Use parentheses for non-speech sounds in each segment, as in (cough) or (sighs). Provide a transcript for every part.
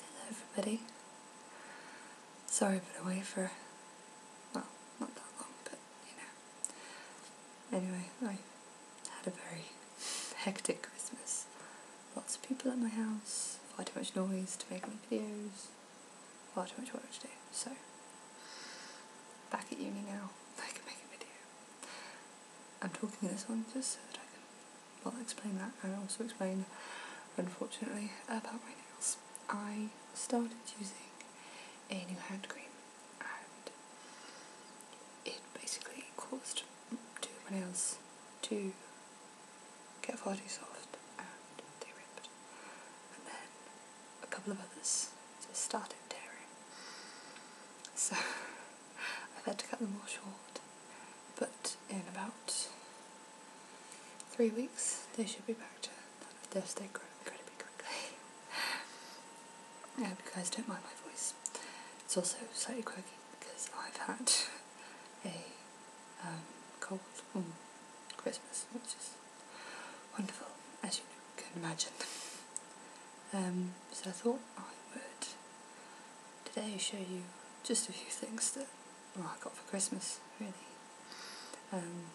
Hello everybody. Sorry I've been away for, well, not that long, but you know. Anyway, I had a very (laughs) hectic Christmas. Lots of people at my house, far too much noise to make any videos, far too much work to do, so back at uni now, (laughs) I can make a video. I'm talking this one just so that I can I'll explain that and also explain, unfortunately, about my nails. I started using a new hand cream and it basically caused two my nails to get far too soft and they ripped. And then a couple of others just started tearing. So I've had to cut them all short, but in about three weeks they should be back to their state grow incredibly quickly. (laughs) I hope you guys don't mind my voice. It's also slightly quirky because I've had a um, cold mm, Christmas, which is wonderful, as you can imagine. (laughs) Um, so I thought I would today show you just a few things that I got for Christmas, really. Um,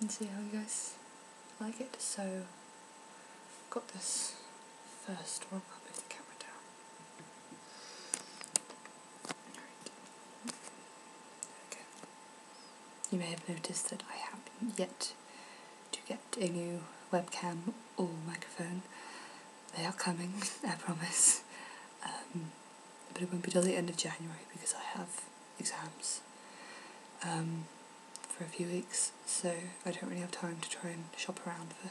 and see how you guys like it. So, I've got this first one. I'll move the camera down. You may have noticed that I haven't yet to get a new webcam or microphone. They are coming, (laughs) I promise. Um, but it won't be till the end of January because I have exams um, for a few weeks, so I don't really have time to try and shop around for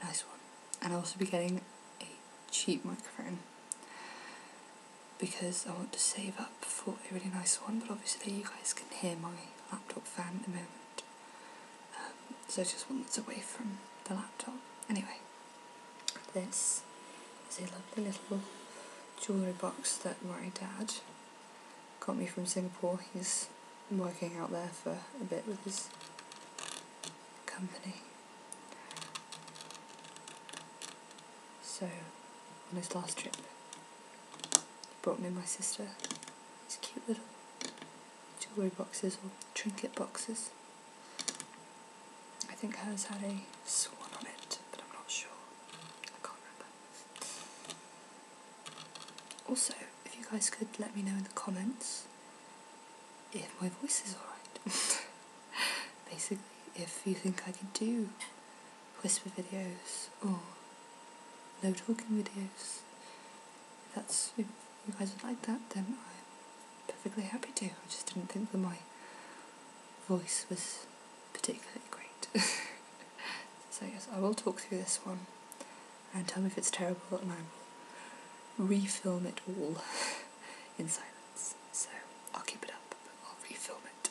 a nice one. And I'll also be getting a cheap microphone because I want to save up for a really nice one, but obviously you guys can hear my laptop fan at the moment. Um, so just one that's away from the laptop. Anyway, this is a lovely little jewellery box that my dad got me from Singapore. He's working out there for a bit with his company. So, on his last trip Brought me my sister these cute little jewellery boxes or trinket boxes. I think hers had a swan on it, but I'm not sure. I can't remember. Also, if you guys could let me know in the comments if my voice is alright. (laughs) Basically, if you think I could do whisper videos or no talking videos. If that's if you guys would like that, then I'm perfectly happy to. I just didn't think that my voice was particularly great. (laughs) so yes, I will talk through this one and tell me if it's terrible and I will refilm it all (laughs) in silence. So I'll keep it up, but I'll refilm it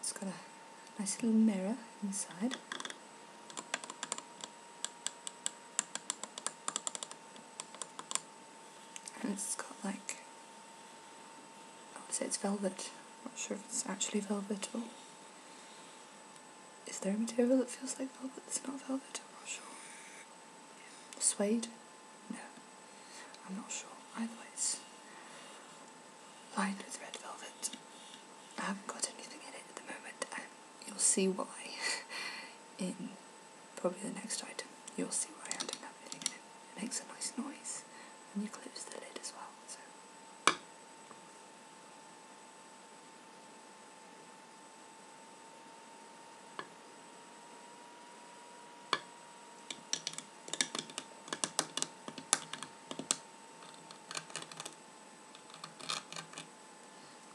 it's got a nice little mirror inside. And it's got like, I would say it's velvet. not sure if it's actually velvet or is there a material that feels like velvet that's not velvet? I'm not sure. Yeah. Suede? No. I'm not sure. Either way, it's lined with red velvet. I haven't got anything in it at the moment, and you'll see why (laughs) in probably the next item. You'll see why I don't have anything in it. It makes a nice noise when you close the lid as well. So.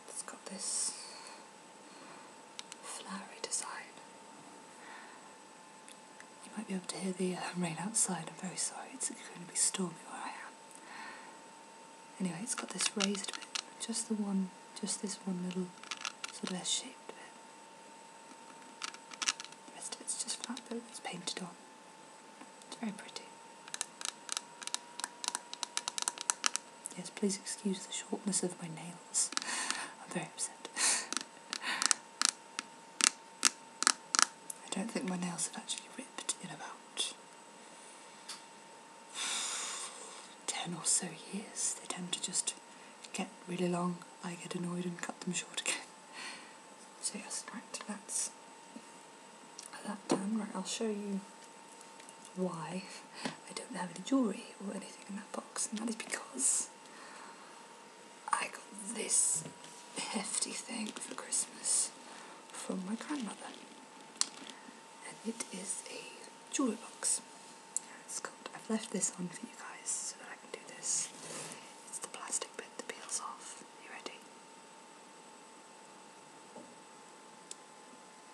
It's got this flowery design. You might be able to hear the rain outside. I'm very sorry. It's going to be stormy where I am. Anyway, it's got this raised bit, just the one, just this one little sort of S-shaped bit. The rest of it's just flat but it's painted on. It's very pretty. Yes, please excuse the shortness of my nails. (laughs) I'm very upset. (laughs) I don't think my nails have actually ripped in about 10 or so years. They tend to just get really long, I get annoyed and cut them short again. (laughs) So yes, right, that's that done. Right, I'll show you why I don't have any jewellery or anything in that box, and that is because I got this hefty thing for Christmas from my grandmother. And it is a jewel box. It's called, I've left this on for you guys so that I can do this. It's the plastic bit that peels off. you ready?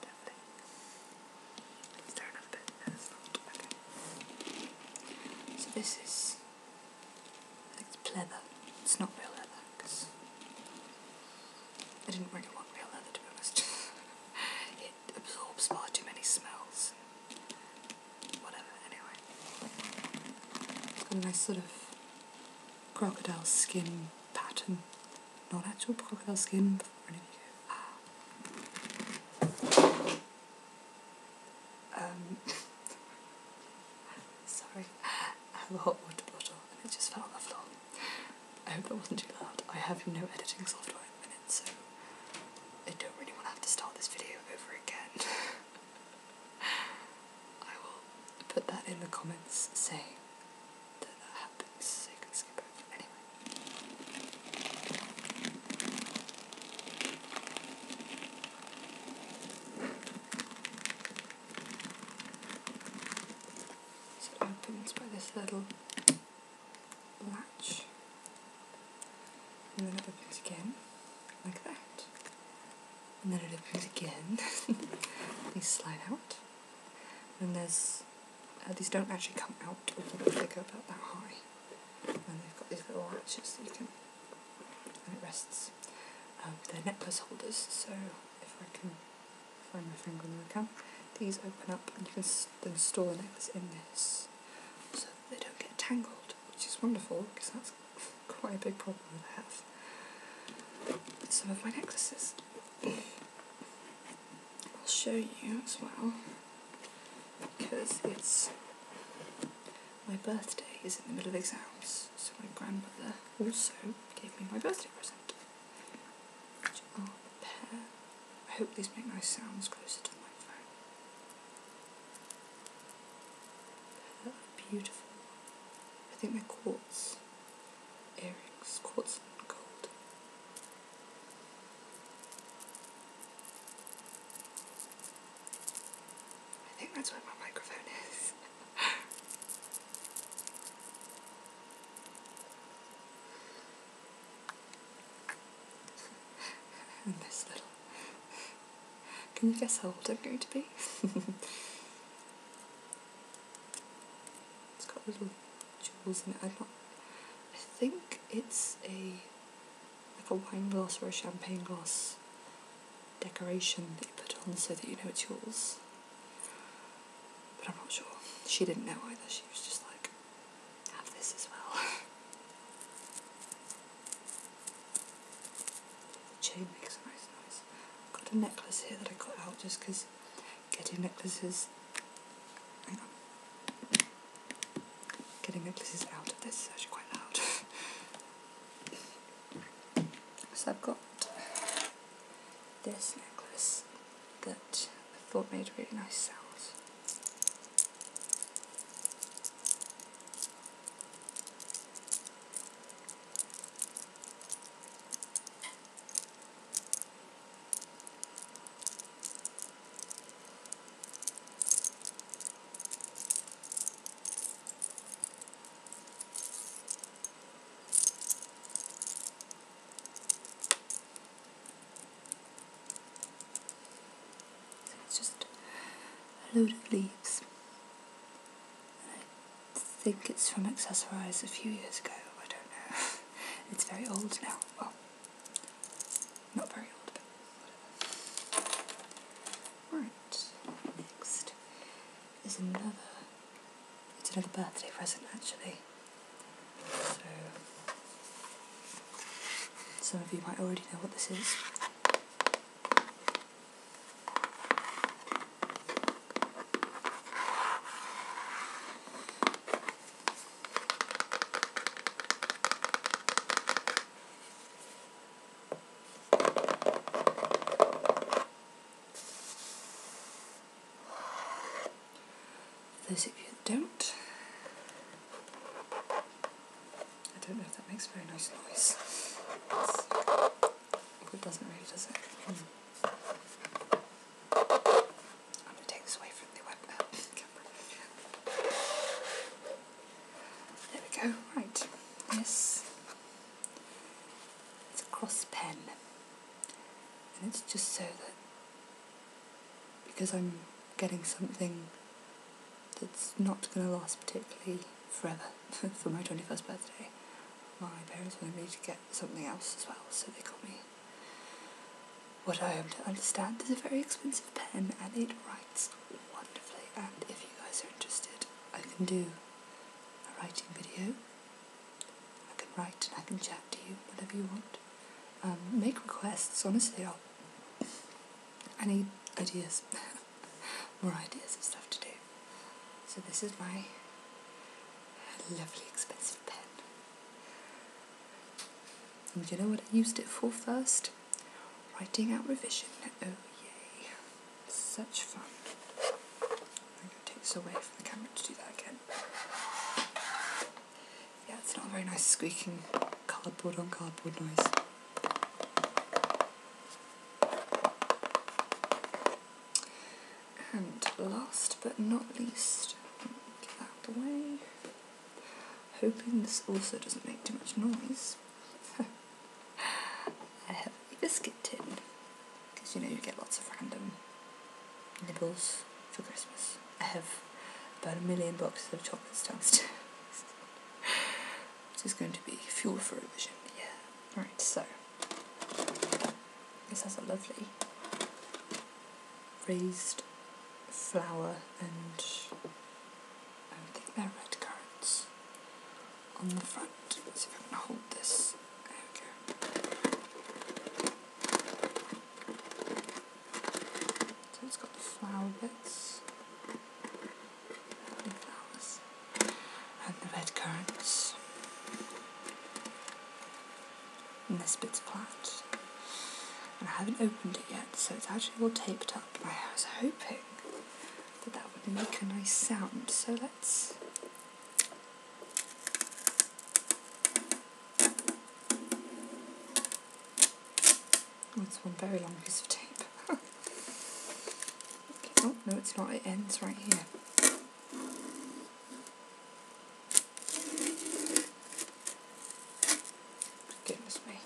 Lovely. Is there another Okay. So this is it's leather. It's not real leather because I didn't really want real leather to be honest. (laughs) it absorbs far too many smells. Whatever, anyway. It's got a nice sort of crocodile skin pattern. Not actual crocodile skin, Um, (laughs) Sorry, (laughs) I have a hot water bottle and it just fell on the floor. I hope that wasn't too loud. I have no editing software at the minute, so I don't really want to have to start this video over again. (laughs) I will put that in the comments saying that that happened, so you can skip it Anyway. So it opens by this little latch, and then it opens again, like that. And then it opens again. (laughs) these slide out, and there's uh, these don't actually come out, they go about that high. And they've got these little arches so you can and it rests. Um, they necklace holders, so if I can find my finger on the cam, these open up and you can then store the necklace in this so they don't get tangled, which is wonderful because that's quite a big problem that I have with some of my necklaces. I'll show you as well because it's my birthday is in the middle of exams, so my grandmother also gave me my birthday present. Which are pair. I hope these make nice sounds closer to my phone. beautiful, I think they're quartz earrings, quartz and gold. I think that's where my microphone is. (laughs) this little. Can you guess how old I'm going to be? (laughs) it's got little jewels in it. I'm not. I think it's a like a wine glass or a champagne glass decoration that you put on so that you know it's yours. But I'm not sure. She didn't know either, she was just like, have this as well. (laughs) chain makes a nice I've got a necklace here that I got out just because getting necklaces Getting necklaces out of this is actually quite loud. (laughs) So I've got this necklace that I thought made really nice sounds it's just a load of leaves. I think it's from Accessorize a few years ago, I don't know. (laughs) it's very old now. Well, not very old, but Alright, next is another, it's another birthday present actually. So, some of you might already know what this is. Those of you don't, I don't know if that makes very nice noise. it doesn't really, does it? Hmm. I'm going to take this away from the web (laughs) There we go, right. This is a cross pen. And it's just so that because I'm getting something that's not going to last particularly forever (laughs) for my 21st birthday, my parents wanted me to get something else as well, so they got me what I am to understand is a very expensive pen and it writes wonderfully and if you guys are interested I can do a writing video. I can write and I can chat to you whatever you want. Um, make requests, honestly i need ideas. (laughs) More ideas of stuff to do. So this is my lovely expensive pen. And do you know what I used it for first? Writing out revision, oh yay, such fun. I'm going to take this away from the camera to do that again. Yeah, it's not a very nice squeaking cardboard on cardboard noise. And last but not least, get out of the way. Hoping this also doesn't make too much noise. I have a biscuit tin, because you know you get lots of random nibbles for Christmas. I have about a million boxes of chocolate downstairs, (laughs) This is going to be fuel for revision, yeah. Right, so, this has a lovely raised flower and I'm taking my red currants on the front. Let's see if I can hold this. There we go. So it's got the flower bits. flowers. And the red currants. And this bit's flat. And I haven't opened it yet, so it's actually all taped up. I was hoping that that would make a nice sound. So let's. Oh, one very long piece of tape. (laughs) Oh, no, it's not. It ends right here. Goodness me.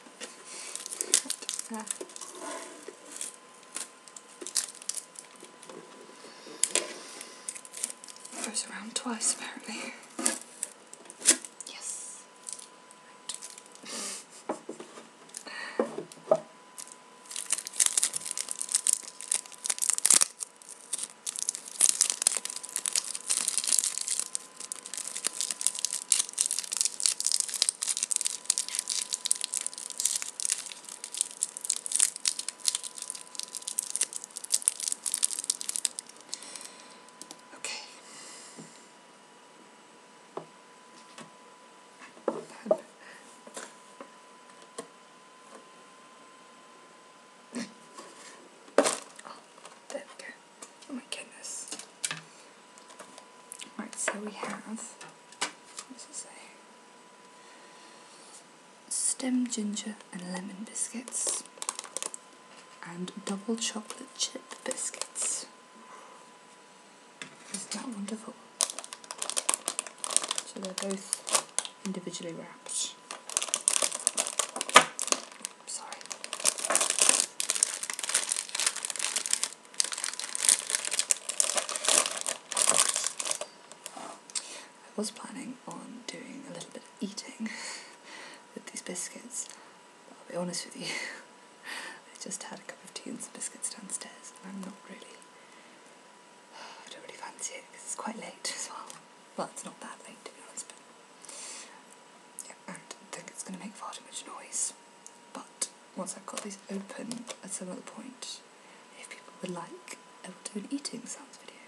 goes around twice apparently. Yes. Okay. (laughs) oh, there we go. Oh my goodness. Right, so we have, Stem ginger and lemon biscuits. And double chocolate chip biscuits. Isn't that wonderful? So they're both individually wrapped i sorry. I was planning on doing a little bit of eating (laughs) with these biscuits, but I'll be honest with you, (laughs) I just had a cup of tea and some biscuits downstairs, and I'm not really, (sighs) I don't really fancy it because it's quite late as well. Well, it's not that late to be honest, yeah, and I think it's going to make far too much noise. But once I've got these open at some other point, if people would like, I will do an eating sounds video.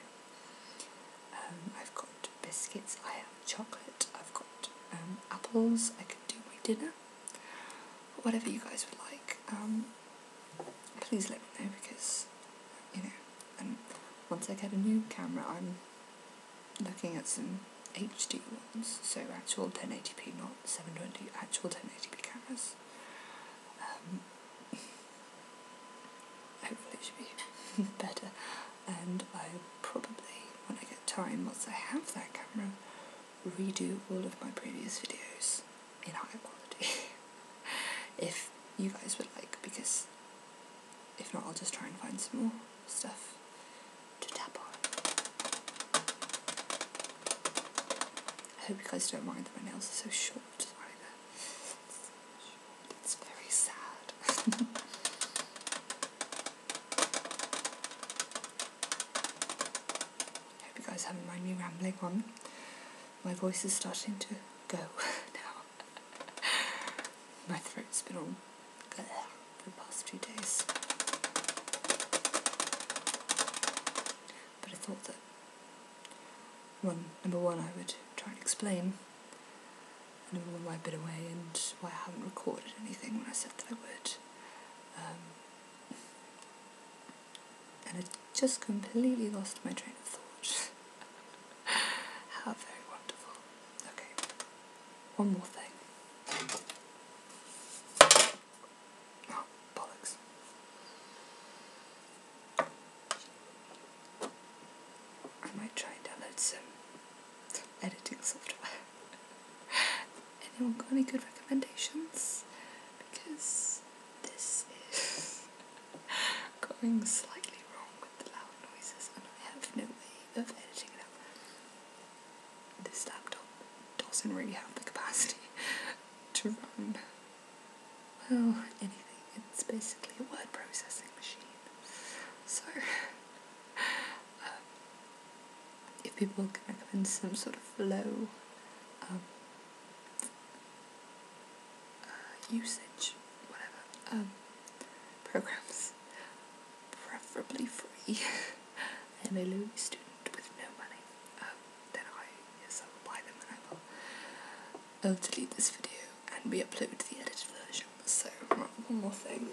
Um, I've got biscuits, I have chocolate, I've got um, apples, I can do my dinner. whatever you guys would like, um, please let me know because, you know, and once I get a new camera, I'm looking at some HD ones, so actual 1080p, not 720, actual 1080p cameras. Um, hopefully it should be (laughs) better. And I probably, when I get time, once I have that camera, redo all of my previous videos in higher quality. (laughs) if you guys would like, because if not, I'll just try and find some more stuff to tap on. I hope you guys don't mind that my nails are so short. Sorry, it's very sad. (laughs) I hope you guys haven't mind me rambling on. My voice is starting to go (laughs) now. My throat's been all there for the past few days. But I thought that one number one I would try and explain and number one why i away and why I haven't recorded anything when I said that I would. Um, and I just completely lost my train of thought. (laughs) How very wonderful. Okay, one more thing. Oh, bollocks. I might try and download some, editing software. (laughs) Anyone got any good recommendations? Because this is (laughs) going slightly wrong with the loud noises, and I have no way of editing it up. This laptop doesn't really have the capacity (laughs) to run, anything. It's basically a word processing machine. So, (laughs) um, if people can recommend some sort of low um, uh, usage, whatever, um, programs preferably free (laughs) and a lonely student with no money, um, then I, yes, I will buy them and I will I'll um, delete this video and re-upload the edited version. So, one more thing.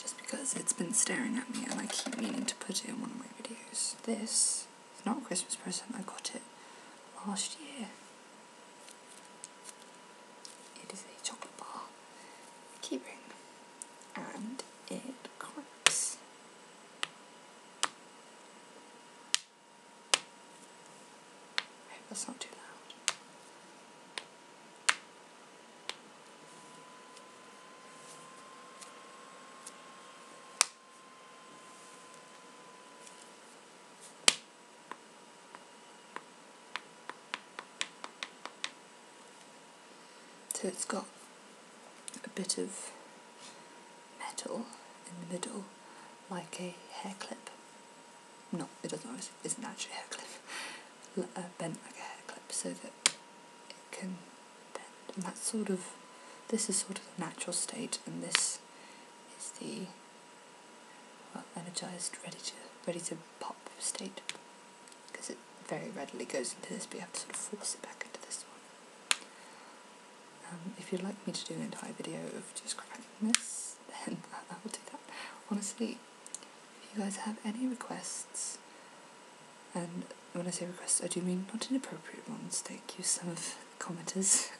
Just because it's been staring at me and I keep meaning to put it in one of my videos. This is not a Christmas present, I got it last year. It is a chocolate bar keyring and it cracks. I hope not too loud. So it's got a bit of metal in the middle, like a hair clip. No, it doesn't. It isn't actually a hair clip. (laughs) Uh, bent like a hair clip, so that it can bend. And that's sort of this is sort of the natural state, and this is the well, energized, ready to ready to pop state, because it very readily goes into this, but you have to sort of force it back into this one. Um, if you'd like me to do an entire video of just cracking this, (laughs) then I will do that. Honestly, if you guys have any requests, and when I say requests, I do mean not inappropriate ones. Thank you, some of commenters.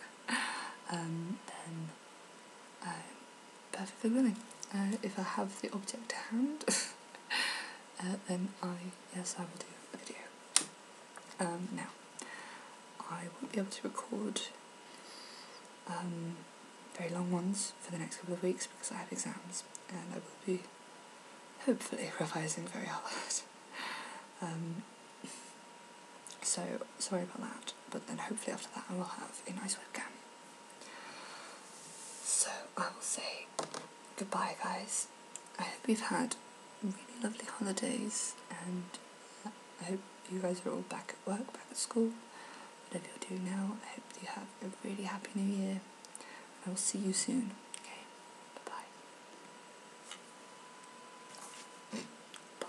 (laughs) um, then perfectly willing. Uh, if I have the object to hand, (laughs) uh, then I, yes, I will do a video. Um, now, I won't be able to record um, very long ones for the next couple of weeks because I have exams and I will be hopefully (laughs) revising very hard. (laughs) Um, so sorry about that, but then hopefully after that I will have a nice webcam. So I will say goodbye, guys. I hope you've had really lovely holidays, and I hope you guys are all back at work, back at school, whatever you're doing now. I hope you have a really happy new year. I will see you soon. bye.